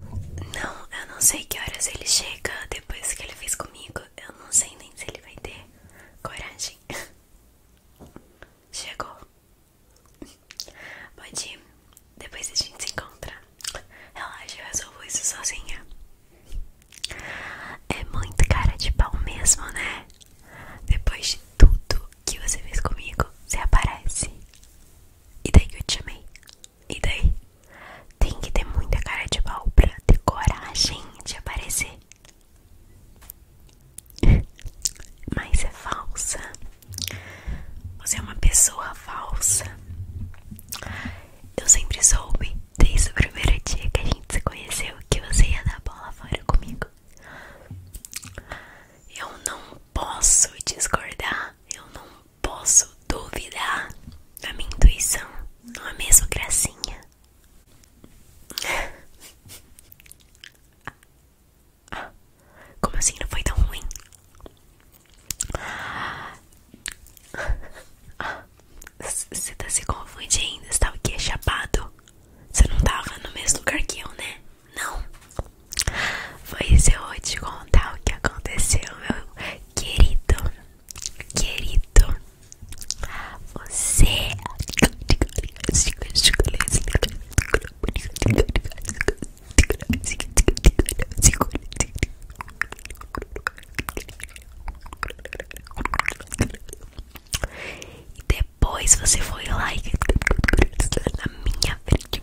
Não, eu não sei que horas ele chega depois que ele fez comigo. Eu não sei nem se ele vai ter coragem. Chegou. Pode ir. Depois a gente se encontra. Relaxa, eu resolvo isso sozinha. É muito cara de pau mesmo, né? Depois de tudo que você fez comigo, você aparece. E daí que eu te chamei. E daí? Tem que ter muita cara de pau pra ter coragem de aparecer. Mas é falsa. Você é uma pessoa falsa. Eu sempre soube, desde o primeiro dia que a gente se conheceu, que você ia dar bola fora comigo. Eu não posso discordar. Eu não posso duvidar da minha intuição, não é mesmo, gracinha? como assim não foi tão ruim? Você tá se confundindo, você tava tá o Chapado? Você não tava no mesmo lugar que eu, né? Não. Pois eu vou te contar o que aconteceu, meu querido. Querido. Você. E depois você foi lá e na minha frente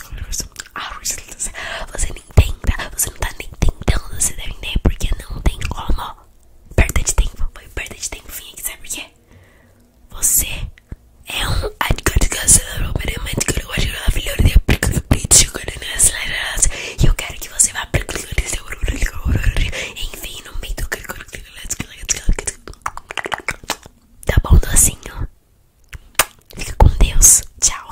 as cores, você não você não tá nem tentando deve defender porque não tem como. Perda de tempo, foi perda de tempo, enfim, sabe por quê? Você é um e eu quero que você vá enfim no meio do tá bom docinho Fica com Deus. Tchau.